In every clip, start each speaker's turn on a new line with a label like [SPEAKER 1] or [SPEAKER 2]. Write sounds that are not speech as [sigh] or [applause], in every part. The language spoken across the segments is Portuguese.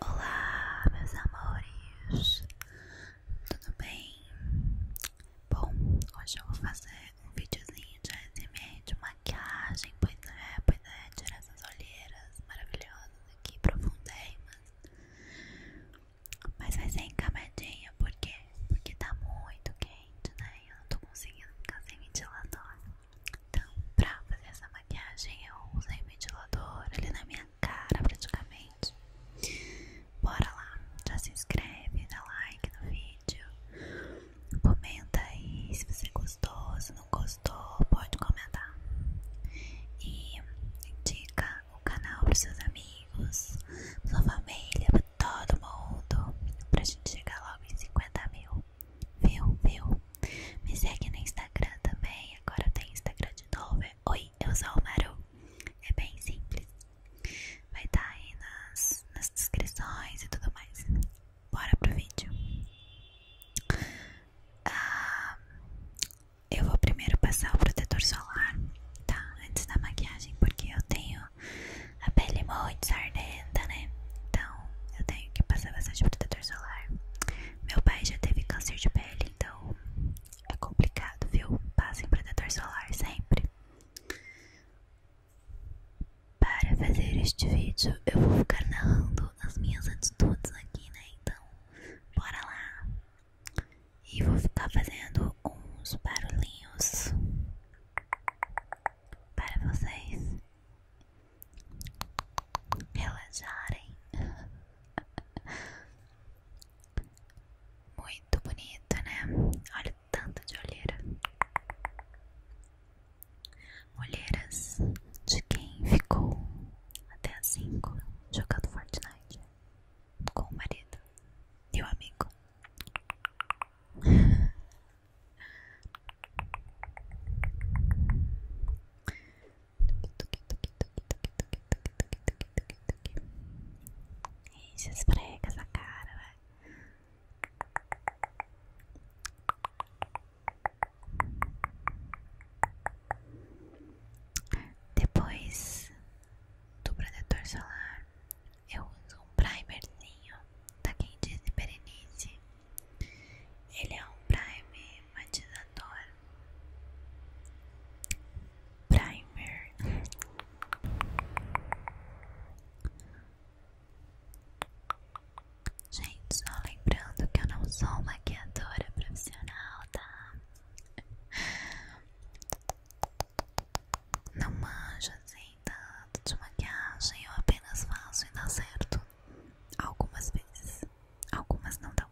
[SPEAKER 1] Olá, meus amores, tudo bem? Bom, hoje eu vou fazer um videozinho de ASMR de maquiagem, pois é, pois é, tirar essas olheiras maravilhosas aqui, profundérrimas. Mas vai ser em camadinha, por quê? Porque tá muito quente, né? Eu não tô conseguindo ficar sem ventilador. Então, pra fazer essa maquiagem, eu usei o ventilador ali na minha cara praticamente. Bora lá, já se inscreve, dá like no vídeo, comenta aí se você gostou, se não gostou, pode comentar. E indica o canal para seus amigos, sua família, para todo mundo, para a gente chegar logo em 50 mil. Viu, viu? Me segue no Instagram também. Agora tem Instagram de novo. É Oi, eu sou o Maru. É bem simples. Vai estar tá aí nas, descrições e tudo mais. Bora pro vídeo. Ah, eu vou primeiro passar o protetor solar, tá? Antes da maquiagem, porque eu tenho a pele muito sardenta, né? Então eu tenho que passar bastante protetor solar. Meu pai já teve câncer de pele então é complicado, viu? Passem protetor solar sempre. Para fazer este vídeo, eu vou ficar narrando as minhas atitudes aqui, né? Então, bora lá! E vou ficar fazendo uns barulhinhos para vocês relaxarem. [laughs] Muito bonita, né? Olha o tanto de olheira. Olheiras de quem ficou até cinco jogando Fortnite com o marido e o amigo. [laughs] Isso, esfrega essa cara, vai. Depois do protetor solar, eu uso um primerzinho da tá Disney Berenice. Ele é um primer matizador primer gente só lembrando que eu não sou maquiadora profissional tá não manjo assim tanto de maquiagem eu apenas faço e dá certo algumas vezes algumas não dão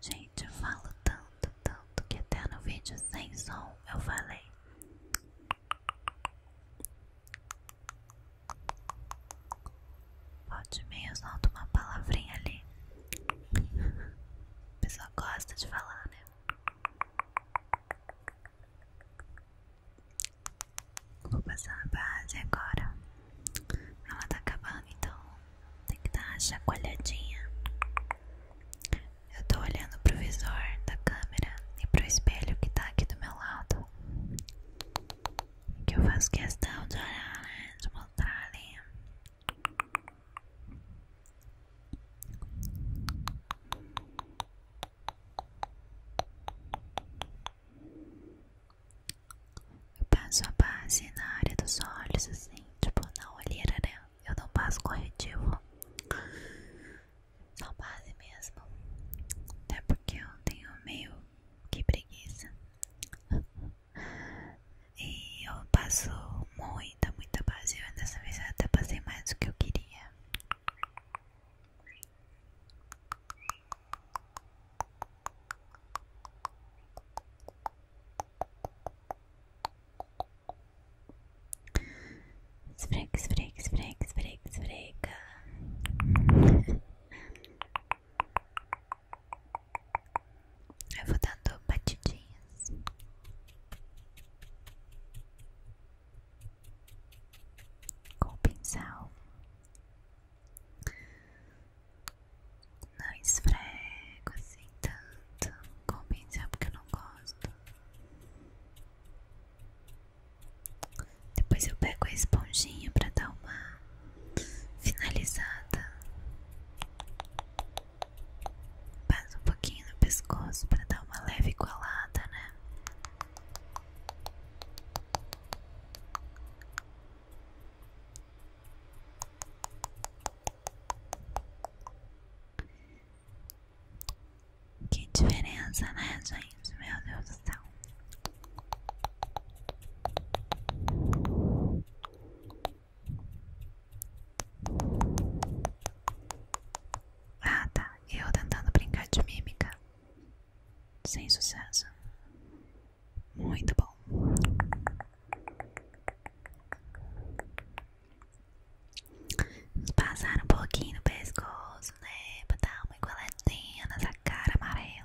[SPEAKER 1] Gente, eu falo tanto, tanto que até no vídeo sem som eu falei. Pode meio de uma palavrinha ali. A [laughs] pessoa gosta de falar, né? Vou passar a base agora. Ela tá acabando, então tem que dar uma chacoalhadinha. Eu tô olhando pro visor da câmera e pro espelho que tá aqui do meu lado. Que eu faço questão de olhar, né? De mostrar ali. Eu passo a base na área dos olhos, assim, tipo, na olheira, né? Eu não passo corretivo. Só base mesmo. Até porque eu tenho meio que preguiça. E eu passo muita, muita base. Eu, dessa vez até passei mais do que eu queria. Esfrega, esfrega, esfrega, esfrega, esfrega. Eu vou dando batidinhas com o pincel. Não esfrego assim tanto com o pincel porque eu não gosto. Depois eu pego a esponjinha para dar uma finalizada. Passo um pouquinho no pescoço para dar uma leve colada, né? Que diferença, né, gente? Meu Deus do céu. Ah, tá. Eu tentando brincar de mímica. Sem sucesso. Muito bom. Passar um pouquinho no pescoço, né? Pra dar uma igualadinha nessa cara amarela.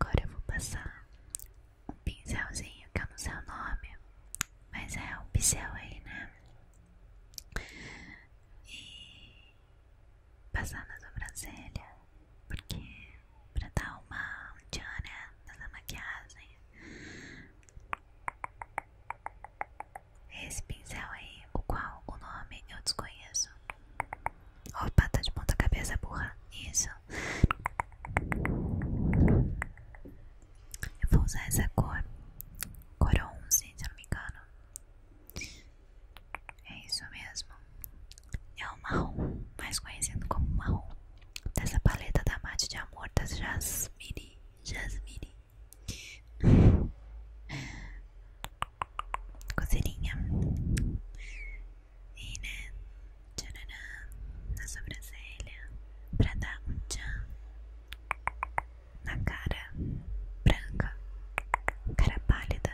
[SPEAKER 1] Agora eu vou passar um pincelzinho que eu não sei o nome, mas é um pincel aí, né? E passar na sobrancelha, porque pra dar uma tchan, né? Nessa maquiagem, esse pincel aí, o qual o nome eu desconheço. Opa, tá de ponta cabeça, burra. Isso. Eu vou usar essa cor. Cor 11, se eu não me engano. É isso mesmo. É o marrom, mais conhecido como marrom. Dessa paleta da Mate de Amor das Jasmine. Jasmine. Coceirinha. E, né? Tcharará. Na sobrancelha. Pra dar um tchan. Na cara branca. Cara pálida.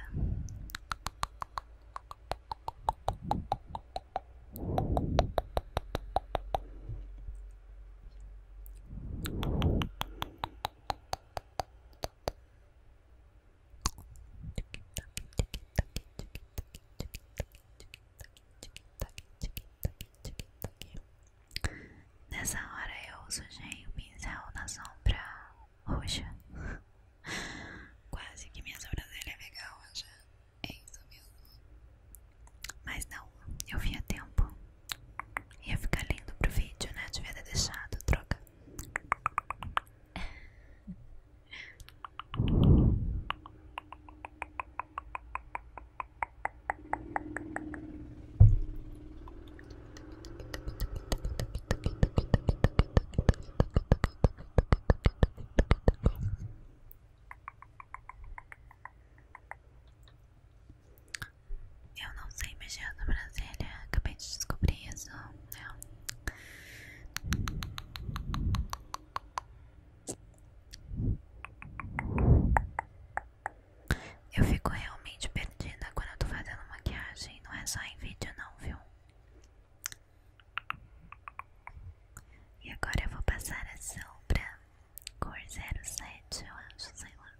[SPEAKER 1] Nessa hora eu sujei o pincel na sombra roxa. [laughs] Quase que minha sobrancelha é legal, já. É isso mesmo. Mas não, eu vim a tempo. Ia ficar lindo pro vídeo, né? Devia deixado, droga. Eu não sei mexer na Brasília, acabei de descobrir isso. Né? Eu fico realmente perdida quando eu tô fazendo maquiagem, não é só em vídeo não, viu? E agora eu vou passar a sombra cor 07, eu acho, sei lá.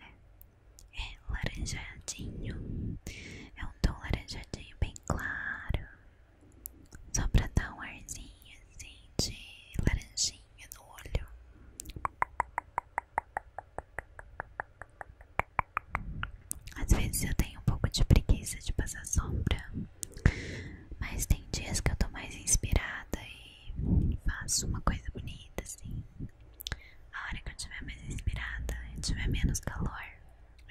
[SPEAKER 1] É, é laranjadinho. É um tom laranjadinho bem claro. Só pra dar um arzinho assim de laranjinha no olho. Às vezes eu tenho um pouco de preguiça de passar sombra. Mas tem dias que eu tô mais inspirada e faço uma coisa bonita, assim. A hora que eu tiver mais inspirada e tiver menos calor,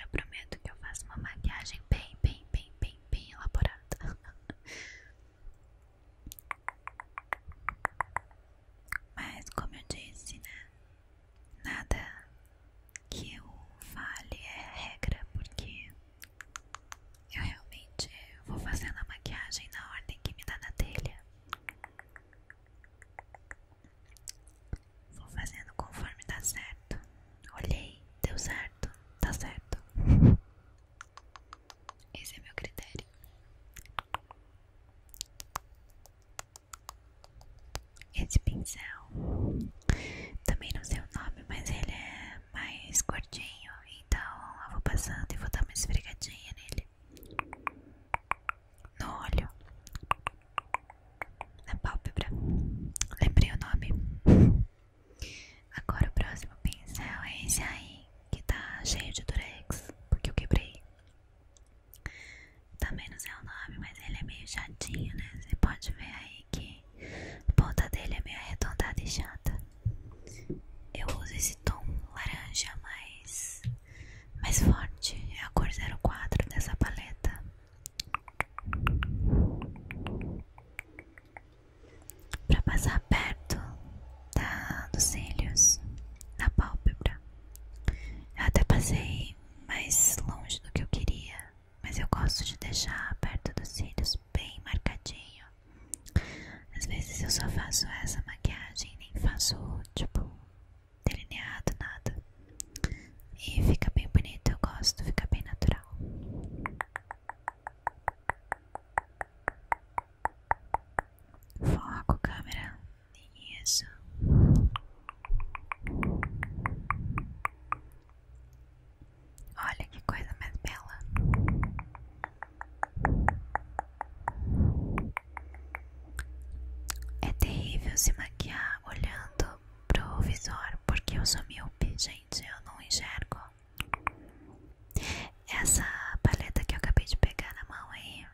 [SPEAKER 1] eu prometo que eu faço uma maquiagem bem, bem, bem, bem, bem elaborada. [laughs] Mas, como eu disse, né? Nada que eu fale é regra, porque eu realmente vou fazendo a maquiagem na ordem que me dá na telha. Vou fazendo conforme dá certo. Olhei, deu certo, tá certo. [laughs] Esse é meu critério. Esse pincel, também não sei o nome, mas ele é é mais gordinho, então eu vou passando e vou dar uma esfregadinha nele. No olho. Na pálpebra. Lembrei o nome. Agora o próximo pincel é esse aí, que tá cheio de durex, porque eu quebrei. Também não sei o nome, mas ele é meio chatinho, né? Você pode ver aí que a ponta dele é meio arredondada e chata. Eu uso esse tom laranja mais, mais forte. É a cor 04 dessa paleta. Pra passar perto da, dos cílios, na pálpebra. Eu até passei mais longe do que eu queria, mas eu gosto de deixar perto dos cílios bem marcadinho às vezes eu só faço essa maquiagem, nem faço tipo delineado, nada. E fica bem bonito, eu gosto, fica bem natural. Foco, câmera. Isso. Olha que coisa mais bela. É terrível se maquiar olhando pro visor, porque eu sou míope, gente, eu não enxergo. Essa paleta que eu acabei de pegar na mão aí,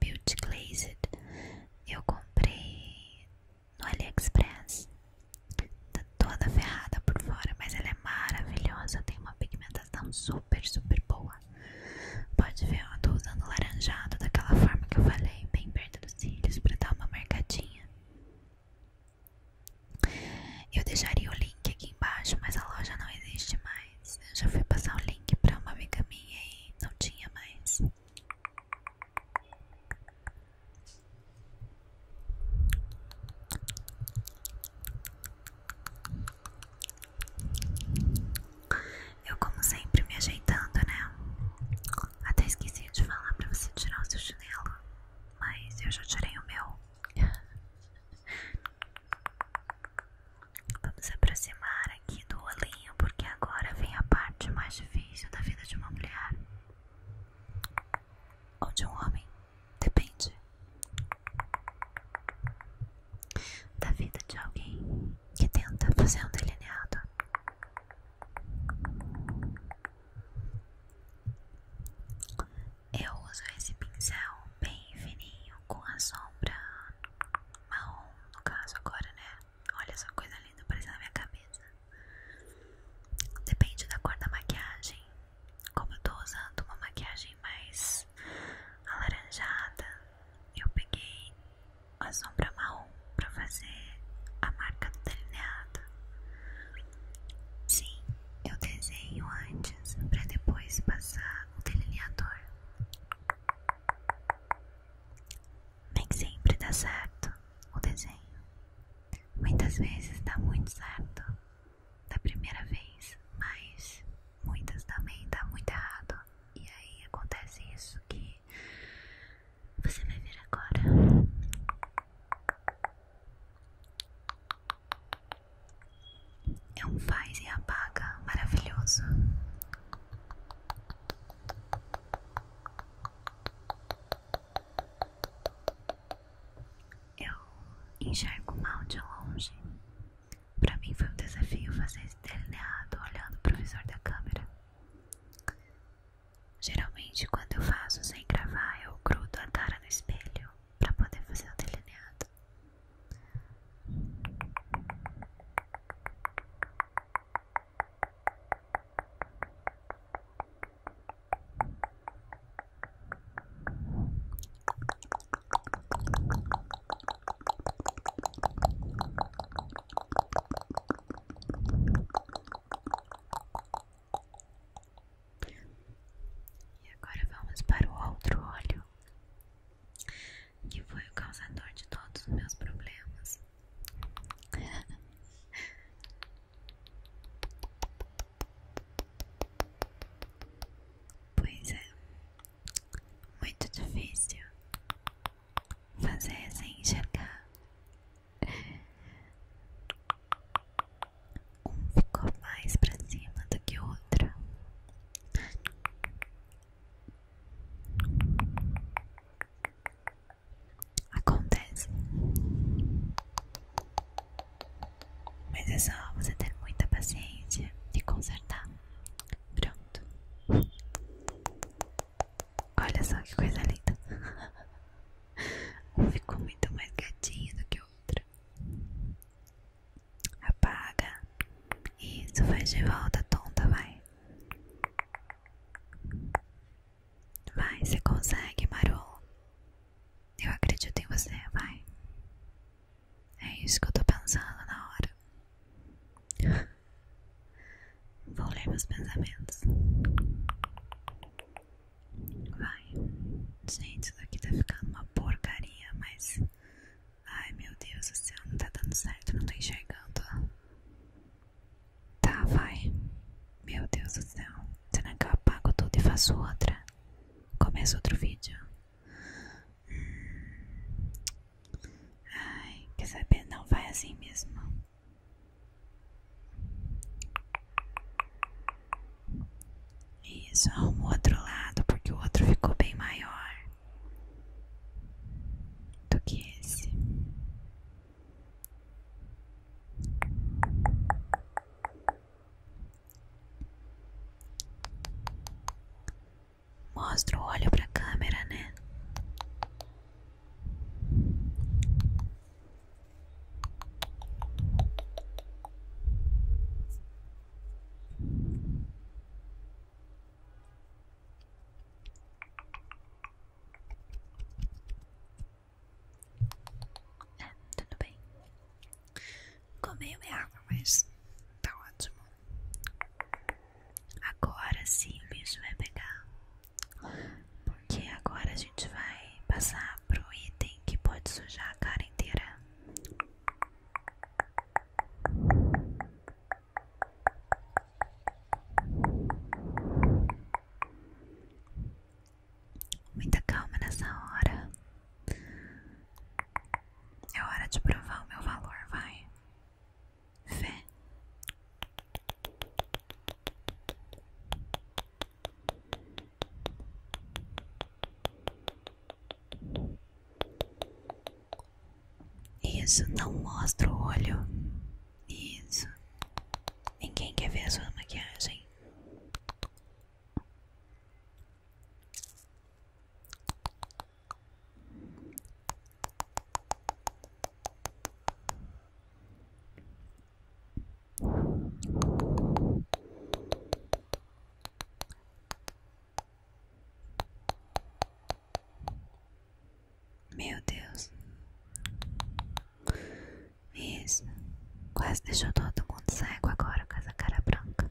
[SPEAKER 1] Beauty Glazed, eu comprei no AliExpress Tá toda ferrada por fora, mas ela é maravilhosa. Tem uma pigmentação super, super boa. Pode ver, eu tô usando laranjado daquela forma que eu falei, bem perto dos cílios, pra dar uma marcadinha. Eu deixaria o link aqui embaixo, mas a loja não existe mais. Eu já fui passar o link pra uma amiga minha e não tinha mais. Eu, como sempre, me ajeitando, né? Até esqueci de falar pra você tirar o seu chinelo, mas eu já tirei o meu. [laughs] Vamos aproximar aqui do olhinho, porque agora vem a parte mais difícil da vida de uma mulher ou de um homem, depende da vida de alguém que tenta fazer um delineado. Eu uso esse pincel bem fininho com a sombra marrom, no caso agora, né? Olha essa coisa linda aparecendo na minha cabeça. Depende da cor da maquiagem como eu tô usando uma maquiagem mais alaranjada, eu peguei a sombra marrom para fazer a marca do delineado. Sim, eu desenho antes para depois passar o delineador. Nem sempre dá certo o desenho. Muitas vezes dá muito certo, da primeira vez, mas muitas também dá tá muito errado. E aí acontece isso que você vai ver agora. É um faz e apaga maravilhoso. Eu enxergo mal de longe. Para mim foi um desafio fazer esse delineado olhando o provisor da câmera. Geralmente, quando eu faço sem gravar, eu grudo a cara no espelho para poder fazer o delineado. E agora vamos para o outro olho, que foi o causador de todos os meus problemas. [laughs] Pois é, muito difícil fazer sem enxergar. Um ficou mais pra cima do que o outro. Acontece. Mas é só você ter muita paciência e consertar. Pronto. Olha só que coisa linda. [laughs] Um ficou muito mais gatinho do que o outro. Apaga. Isso, faz de volta, tonta, vai. Vai, você consegue, Marol. Eu acredito em você, vai. É isso que eu tô pensando na hora. Vou ler meus pensamentos. Vai. Gente, isso aqui tá ficando uma porcaria, mas. Ai meu Deus do céu, não tá dando certo, não tô enxergando. Tá, vai. Meu Deus do céu. Será que eu apago tudo e faço outra? Começa outro vídeo. Hum. Ai, quer saber? Não vai assim mesmo. Isso, arruma o outro lado, porque o outro ficou bem maior do que esse. Mostra o olho pra câmera, né? É, tudo bem. Comei minha água, mas tá ótimo. Agora sim o bicho vai pegar. Porque agora a gente vai passar pro item que pode sujar a cara inteira. Muita calma nessa hora. É hora de provar o meu valor, vai. Fé. Isso, não mostra o olho. Isso. Ninguém quer ver a sua maquiagem. Meu Deus, isso quase deixou todo mundo cego agora com essa cara branca.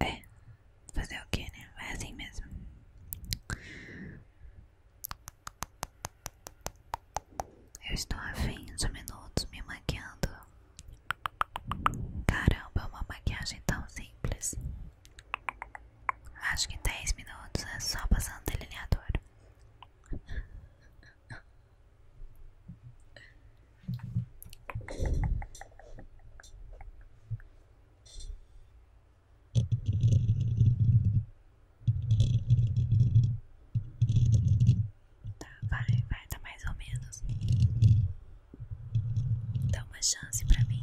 [SPEAKER 1] É, fazer o que, né? É assim mesmo. Eu estou há 20 minutos me maquiando. Caramba, uma maquiagem tão simples. Acho que em 10 minutos é só passando delineador. Tá, vai, vai, tá mais ou menos. Dá uma chance pra mim.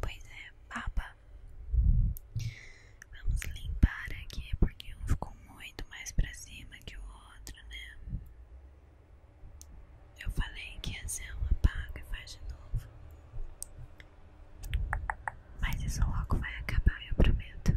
[SPEAKER 1] Pois é, papa Vamos limpar aqui porque um ficou muito mais pra cima que o outro, né? Eu falei que ia ser uma paga e faz de novo. Mas isso logo vai acabar, eu prometo.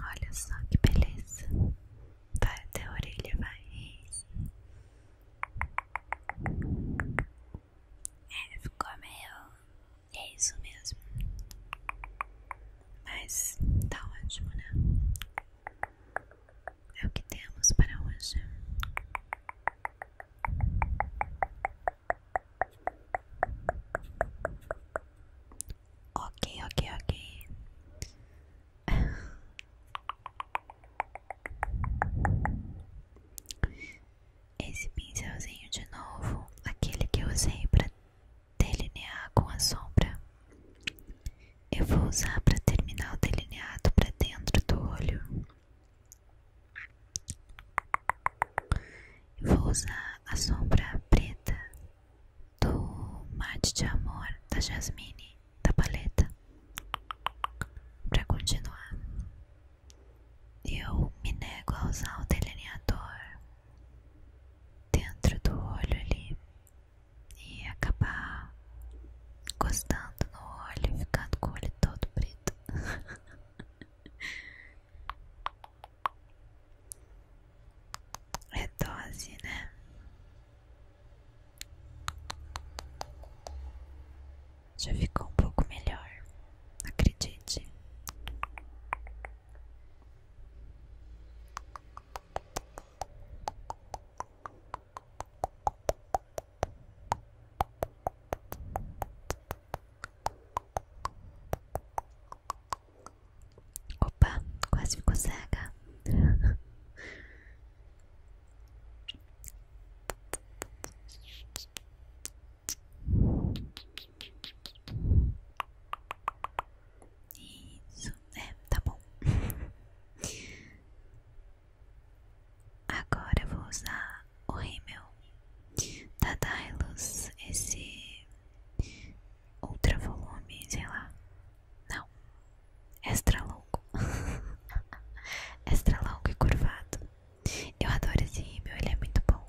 [SPEAKER 1] Olha só que beleza. Vai até a orelha, vai. É, ficou meio. É isso mesmo. Mas tá ótimo, né? É o que temos para hoje. Ok, ok, ok. Esse pincelzinho de novo, aquele que eu usei para delinear com a sombra, eu vou usar para terminar o delineado para dentro do olho. vou usar a sombra preta do Mate de Amor da Jasmine da paleta para continuar. Eu me nego a usar o delineador dentro do olho ali e acabar encostando no olho e ficando com o olho todo preto. [laughs] É dose, né? Já ficou um pouco melhor, acredite. Opa, quase ficou cega. Isso, é, tá bom. Agora eu vou usar o rímel da tá, Dylos, tá, esse ultra volume, sei lá. Não, extra longo. [laughs] extra longo e curvado. Eu adoro esse rímel, ele é muito bom.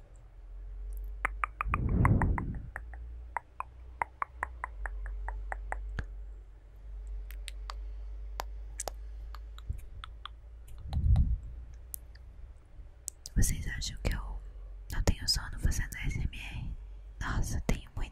[SPEAKER 1] Vocês acham que eu não tenho sono fazendo SMR? Nossa, tenho muito.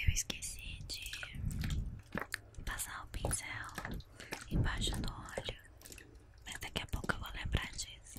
[SPEAKER 1] Eu esqueci de passar o pincel embaixo do olho, mas daqui a pouco eu vou lembrar disso.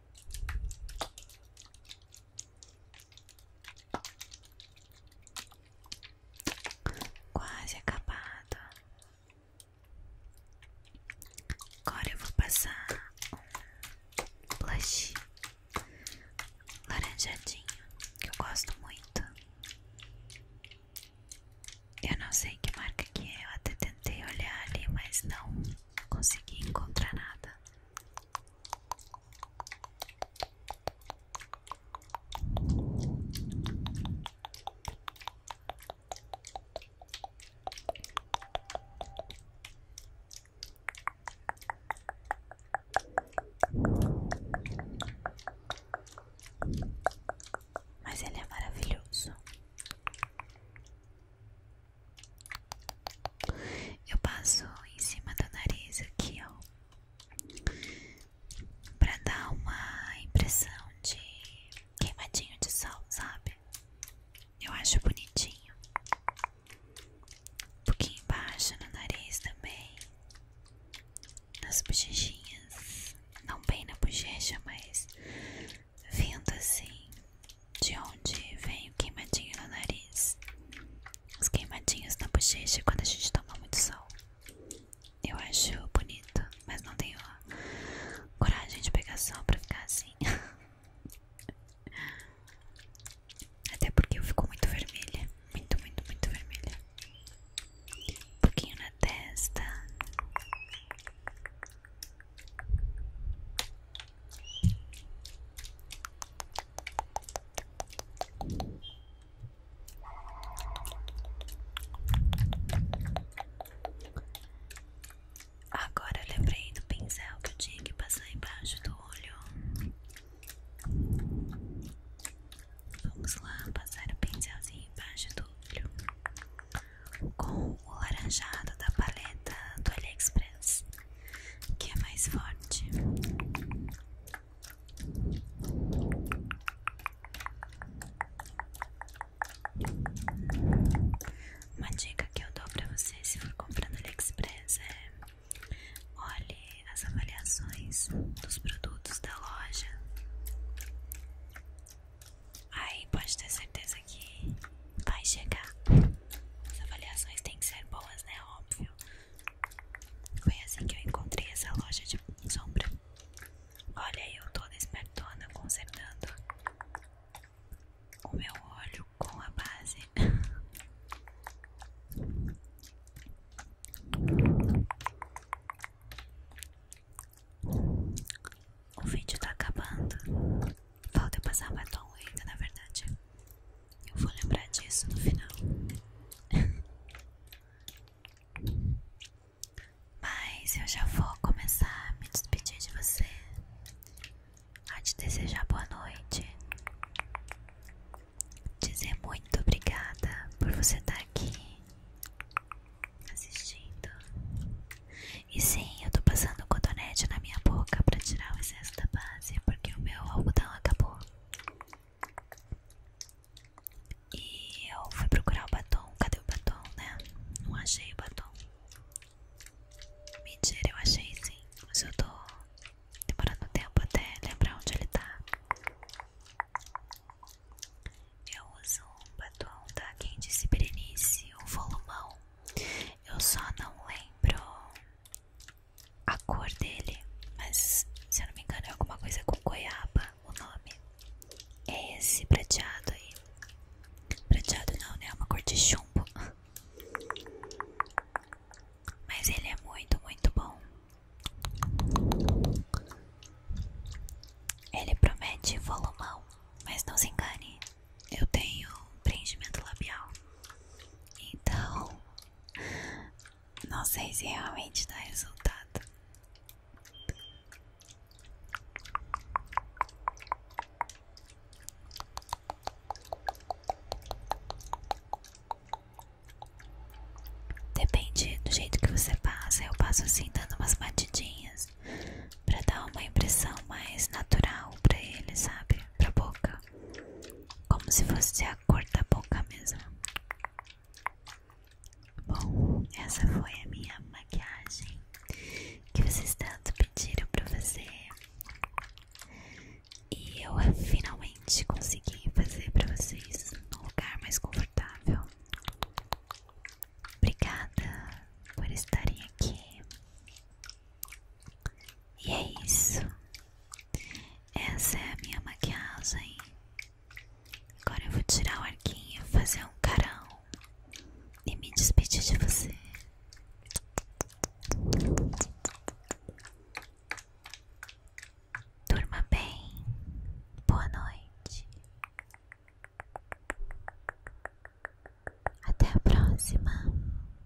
[SPEAKER 1] Quase acabado. Agora eu vou passar um blush laranjadinho que eu gosto muito. Eu não sei que marca que é, eu até tentei olhar ali, mas não consegui encontrar nada. Mas ele é maravilhoso. Eu passo em cima do nariz aqui, ó, pra dar uma impressão de queimadinho de sal, sabe? Eu acho bonitinho. Um pouquinho embaixo no nariz também, nas bochechinhas, não bem na bochecha, mas vindo assim de onde vem o queimadinho no nariz, os queimadinhos na bochecha quando a gente toma muito sol. Eu acho bonito, mas não tenho coragem de pegar sol pra ficar assim. [laughs] Até porque eu fico muito vermelha, muito, muito, muito vermelha. Um pouquinho na testa. Agora eu lembrei do pincel que eu tinha que passar embaixo do olho. Vamos lá passar o pincelzinho embaixo do olho com o laranjado da paleta do AliExpress que é mais forte. Uma dica que eu dou pra você se for comprando AliExpress é olhe as avaliações dos produtos da loja. Aí pode ter certeza que vai chegar. As avaliações têm que ser boas, né? Óbvio. Foi assim que eu encontrei essa loja de sombra. Olha aí, eu toda espertona consertando o meu olho com a base. [laughs] O vídeo tá acabando. Falta eu passar batom ainda, na verdade. Eu vou lembrar disso no final. [laughs] Mas eu já vou começar a me despedir de você. A te desejar boa noite. Dizer muito obrigada por você estar aqui assistindo. E sim, eu tô passando o cotonete na minha boca para tirar o excesso da barba base porque o meu algodão acabou. E eu fui procurar o batom. Cadê o batom, né? Não achei o batom. Mentira, eu achei sim. Mas eu tô demorando tempo até lembrar onde ele tá. Eu uso um batom da Candice Berenice, um volumão. Eu só não lembro a cor dele, mas se eu não me engano é alguma coisa com goiaba o nome. É esse prateado aí. Prateado não, né? É uma cor de chumbo. Mas ele é muito, muito bom. Ele promete volumão, mas não se engane, eu tenho preenchimento labial. Então, não sei se realmente dá resultado. Depende do jeito que você passa. Eu passo assim, dando umas batidinhas, pra dar uma impressão mais natural pra ele, sabe? Pra boca. Como se fosse a cor da boca mesmo. Bom, essa foi a minha maquiagem que vocês tanto pediram para fazer. E eu finalmente consegui fazer para vocês num lugar mais confortável. Obrigada por estarem aqui. E é isso. Essa é a minha maquiagem. Agora eu vou tirar o arquinho, fazer um carão e me despedir de você. Durma bem. Boa noite. Até a próxima.